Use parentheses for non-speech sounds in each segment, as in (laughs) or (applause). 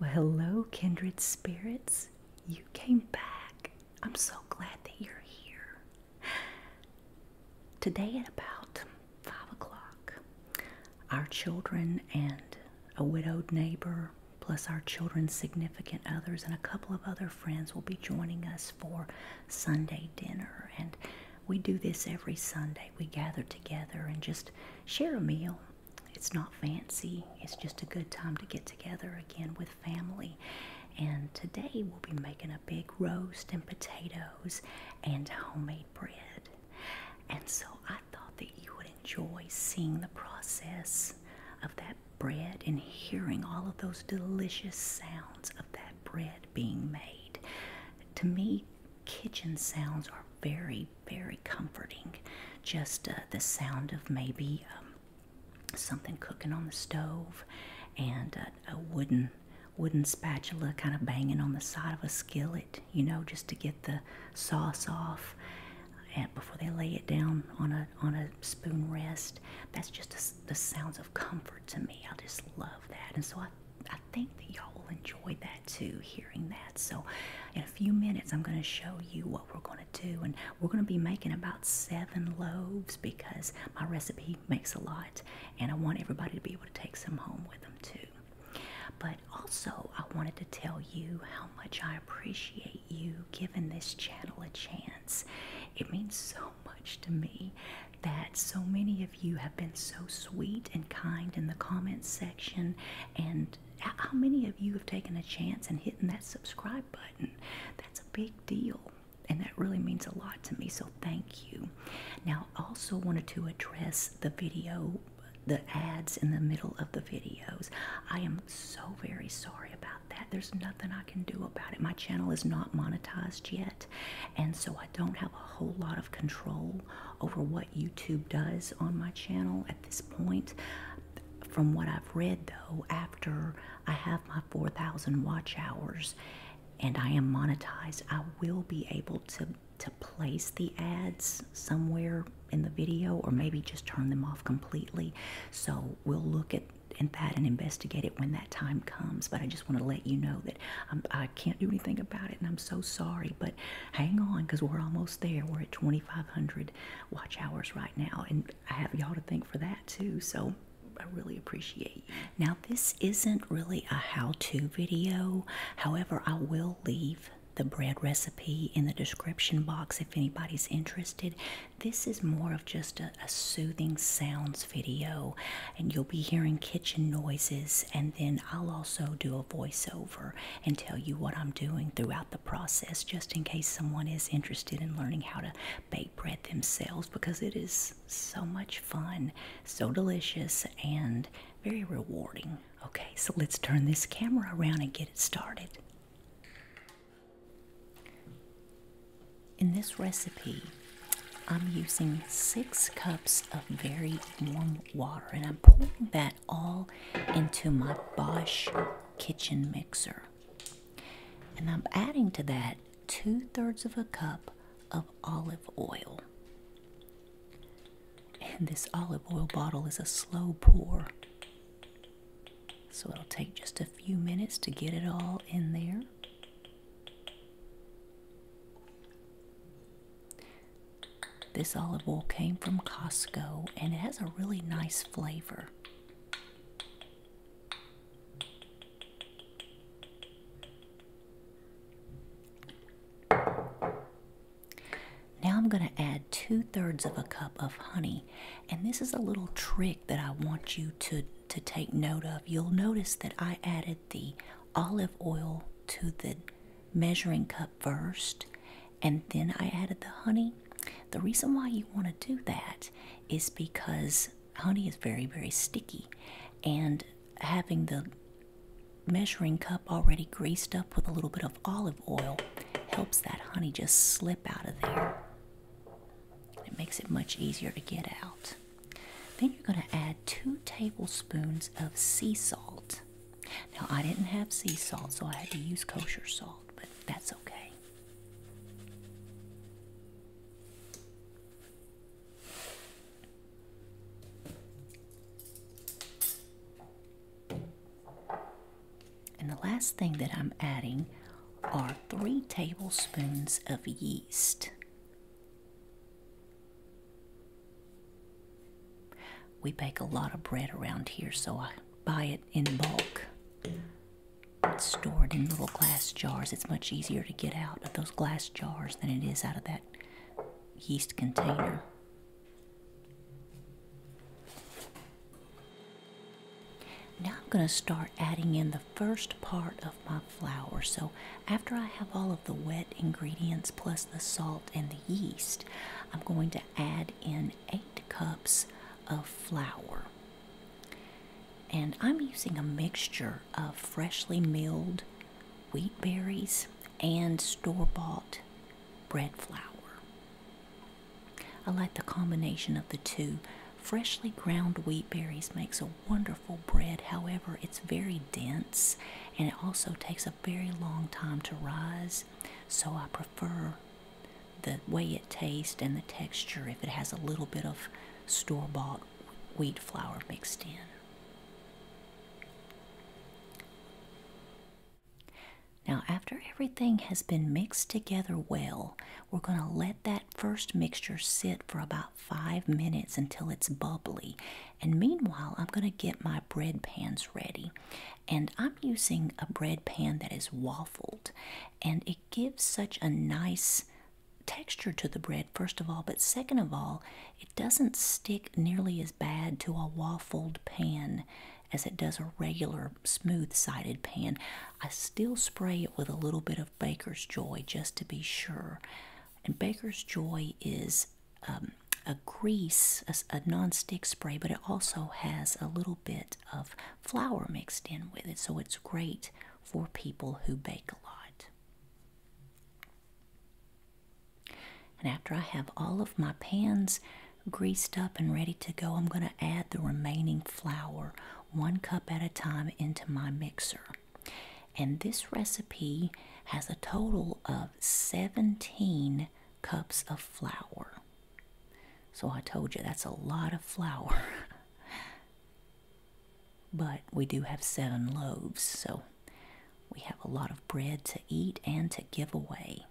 Well, hello, kindred spirits. You came back. I'm so glad that you're here. Today, at about five o'clock, our children and a widowed neighbor, plus our children's significant others, and a couple of other friends will be joining us for Sunday dinner. And we do this every Sunday. We gather together and just share a meal it's not fancy. It's just a good time to get together again with family. And today we'll be making a big roast and potatoes and homemade bread. And so I thought that you would enjoy seeing the process of that bread and hearing all of those delicious sounds of that bread being made. To me, kitchen sounds are very very, comforting. Just uh, the sound of maybe um, something cooking on the stove, and a, wooden wooden spatula kind of banging on the side of a skillet, you know, just to get the sauce off. And before they lay it down on a on a spoon rest, that's just the sounds of comfort to me. I just love that, and so I I think y'all will enjoy that too, hearing that. So, in a few minutes, I'm going to show you what we're going to do, and we're going to be making about seven loaves because my recipe makes a lot, and I want everybody to be able to take some home with them too. But also, I wanted to tell you how much I appreciate you giving this channel a chance. It means so much to me that so many of you have been so sweet and kind in the comments section and how many of you have taken a chance and hitting that subscribe button? That's a big deal, and that really means a lot to me. So thank you. Now, I also wanted to address the video, the ads in the middle of the videos. I am so very sorry about that. There's nothing I can do about it. My channel is not monetized yet, and so I don't have a whole lot of control over what YouTube does on my channel at this point. From what I've read, though, after I have my 4,000 watch hours and I am monetized, I will be able to, to place the ads somewhere in the video or maybe just turn them off completely. So we'll look at and that and investigate it when that time comes. But I just want to let you know that um, i I can not do anything about it, and I'm so sorry. But hang on because we're almost there. We're at 2,500 watch hours right now, and I have y'all to thank for that too. So I really appreciate you. Now, this isn't really a how to video, however, I will leave the bread recipe in the description box if anybody's interested. This is more of just a soothing sounds video, and you'll be hearing kitchen noises, and then I'll also do a voiceover and tell you what I'm doing throughout the process just in case someone is interested in learning how to bake bread themselves because it is so much fun, so delicious, and very rewarding. Okay, so let's turn this camera around and get it started. In this recipe, I'm using six cups of very warm water, and I'm pouring that all into my Bosch kitchen mixer. And I'm adding to that two thirds of a cup of olive oil. And this olive oil bottle is a slow pour, so it'll take just a few minutes to get it all in there. This olive oil came from Costco and it has a really nice flavor. Now I'm going to add two thirds of a cup of honey, and this is a little trick that I want you to, to take note of. You'll notice that I added the olive oil to the measuring cup first and then I added the honey. The reason why you want to do that is because honey is very, very sticky, and having the measuring cup already greased up with a little bit of olive oil helps that honey just slip out of there. It makes it much easier to get out. Then you're going to add two tablespoons of sea salt. Now, I didn't have sea salt, so I had to use kosher salt, but that's okay. And the last thing that I'm adding are three tablespoons of yeast. We bake a lot of bread around here, so I buy it in bulk. It's stored in little glass jars. It's much easier to get out of those glass jars than it is out of that yeast container. Now I'm going to start adding in the first part of my flour. So after I have all of the wet ingredients plus the salt and the yeast, I'm going to add in 8 cups of flour. And I'm using a mixture of freshly milled wheat berries and store bought bread flour. I like the combination of the two. Freshly ground wheat berries makes a wonderful bread, however, it's very dense and it also takes a very long time to rise, so I prefer the way it tastes and the texture if it has a little bit of store bought wheat flour mixed in. Now, after everything has been mixed together well, we're going to let that first mixture sit for about five minutes until it's bubbly. And meanwhile, I'm going to get my bread pans ready. And I'm using a bread pan that is waffled, and it gives such a nice texture to the bread, first of all, but second of all, it doesn't stick nearly as bad to a waffled pan as it does a regular smooth sided pan. I still spray it with a little bit of Baker's Joy just to be sure. And Baker's Joy is um, a grease, a, a non-stick spray, but it also has a little bit of flour mixed in with it, so it's great for people who bake a lot. And after I have all of my pans greased up and ready to go, I'm going to add the remaining flour one cup at a time into my mixer. And this recipe has a total of 17 cups of flour. So I told you that's a lot of flour. (laughs) but we do have seven loaves, so we have a lot of bread to eat and to give away.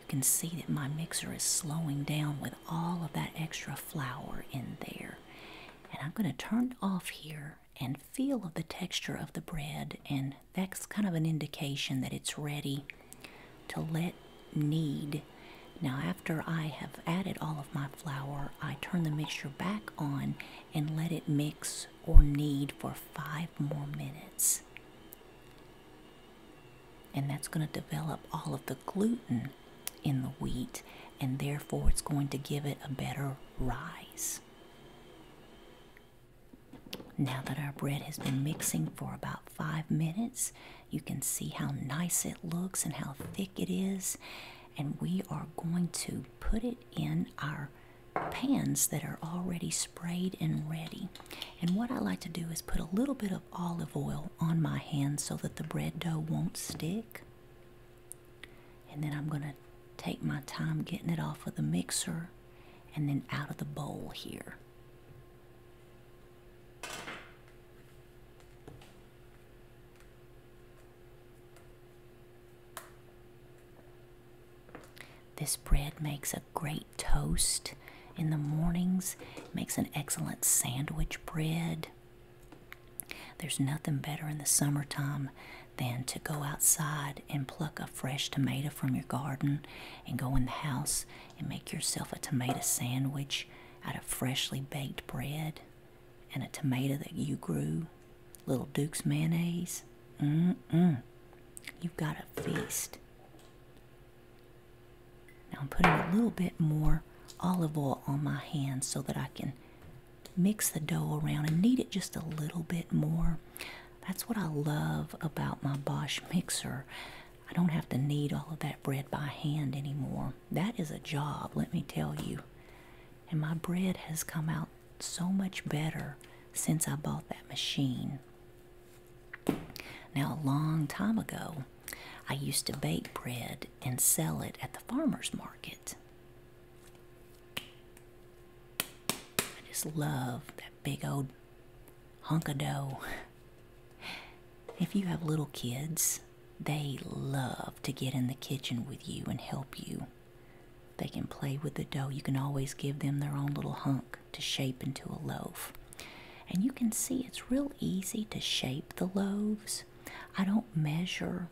You can see that my mixer is slowing down with all of that extra flour in there. And I'm going to turn off here and feel the texture of the bread, and that's kind of an indication that it's ready to let knead. Now, after I have added all of my flour, I turn the mixture back on and let it mix or knead for five more minutes and that's going to develop all of the gluten in the wheat, and therefore it's going to give it a better rise. Now that our bread has been mixing for about five minutes, you can see how nice it looks and how thick it is. And we are going to put it in our pans that are already sprayed and ready. And what I like to do is put a little bit of olive oil on my hands so that the bread dough won't stick. And then I'm going to take my time getting it off of the mixer and then out of the bowl here. This bread makes a great toast in the mornings. Makes an excellent sandwich bread. There's nothing better in the summertime than to go outside and pluck a fresh tomato from your garden and go in the house and make yourself a tomato sandwich out of freshly baked bread and a tomato that you grew. Little Duke's mayonnaise. mm You've got a feast. Now I'm putting a little bit more olive oil on my hands so that I can mix the dough around and knead it just a little bit more. That's what I love about my Bosch mixer. I don't have to knead all of that bread by hand anymore. That is a job, let me tell you. And my bread has come out so much better since I bought that machine. Now, a long time ago, I used to bake bread and sell it at the farmer's market. I just love that big old hunk of dough. If you have little kids, they love to get in the kitchen with you and help you. They can play with the dough. You can always give them their own little hunk to shape into a loaf. And you can see it's real easy to shape the loaves. I don't measure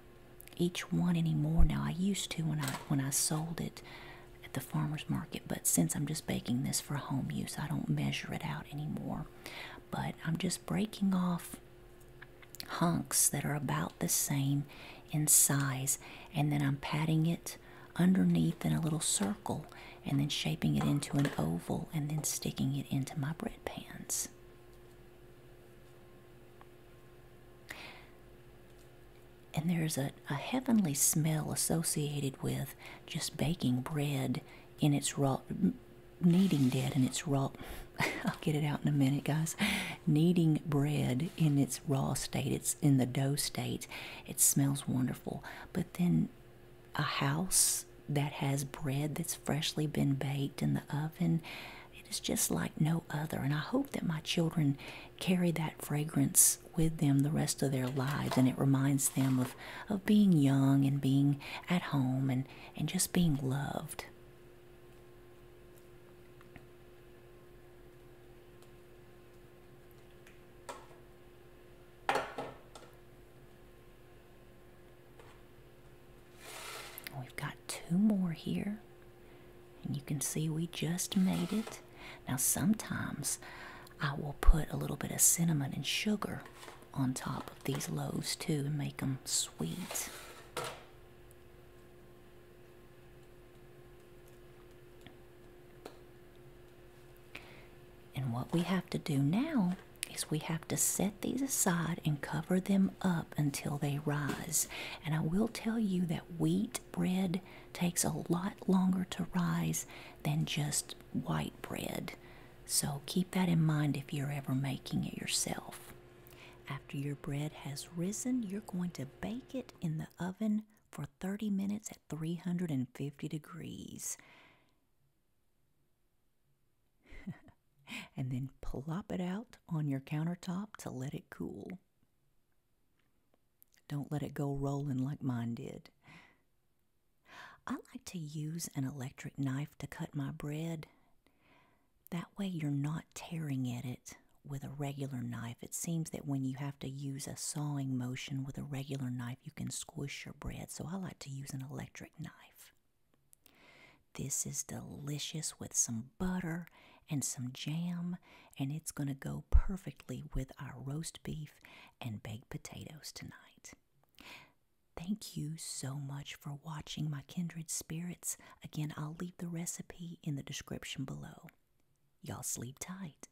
each one anymore now. I used to when I when I sold it at the farmers market, but since I'm just baking this for home use, I don't measure it out anymore. But I'm just breaking off hunks that are about the same in size and then I'm patting it underneath in a little circle and then shaping it into an oval and then sticking it into my bread pans. And there's a, a heavenly smell associated with just baking bread in its raw, kneading dead in its raw, (laughs) I'll get it out in a minute, guys. Kneading bread in its raw state, it's in the dough state, it smells wonderful. But then a house that has bread that's freshly been baked in the oven. It is just like no other. And I hope that my children carry that fragrance with them the rest of their lives. And it reminds them of, of being young and being at home and, and just being loved. We've got two more here. And you can see we just made it. Now sometimes I will put a little bit of cinnamon and sugar on top of these loaves too and make them sweet. And what we have to do now is we have to set these aside and cover them up until they rise. And I will tell you that wheat bread takes a lot longer to rise than just white bread. So keep that in mind if you're ever making it yourself. After your bread has risen, you're going to bake it in the oven for 30 minutes at 350 degrees. (laughs) and then plop it out on your countertop to let it cool. Don't let it go rolling like mine did. I like to use an electric knife to cut my bread. That way, you're not tearing at it with a regular knife. It seems that when you have to use a sawing motion with a regular knife, you can squish your bread, so I like to use an electric knife. This is delicious with some butter and some jam, and it's going to go perfectly with our roast beef and baked potatoes tonight. Thank you so much for watching my kindred spirits. Again, I'll leave the recipe in the description below. Y'all sleep tight.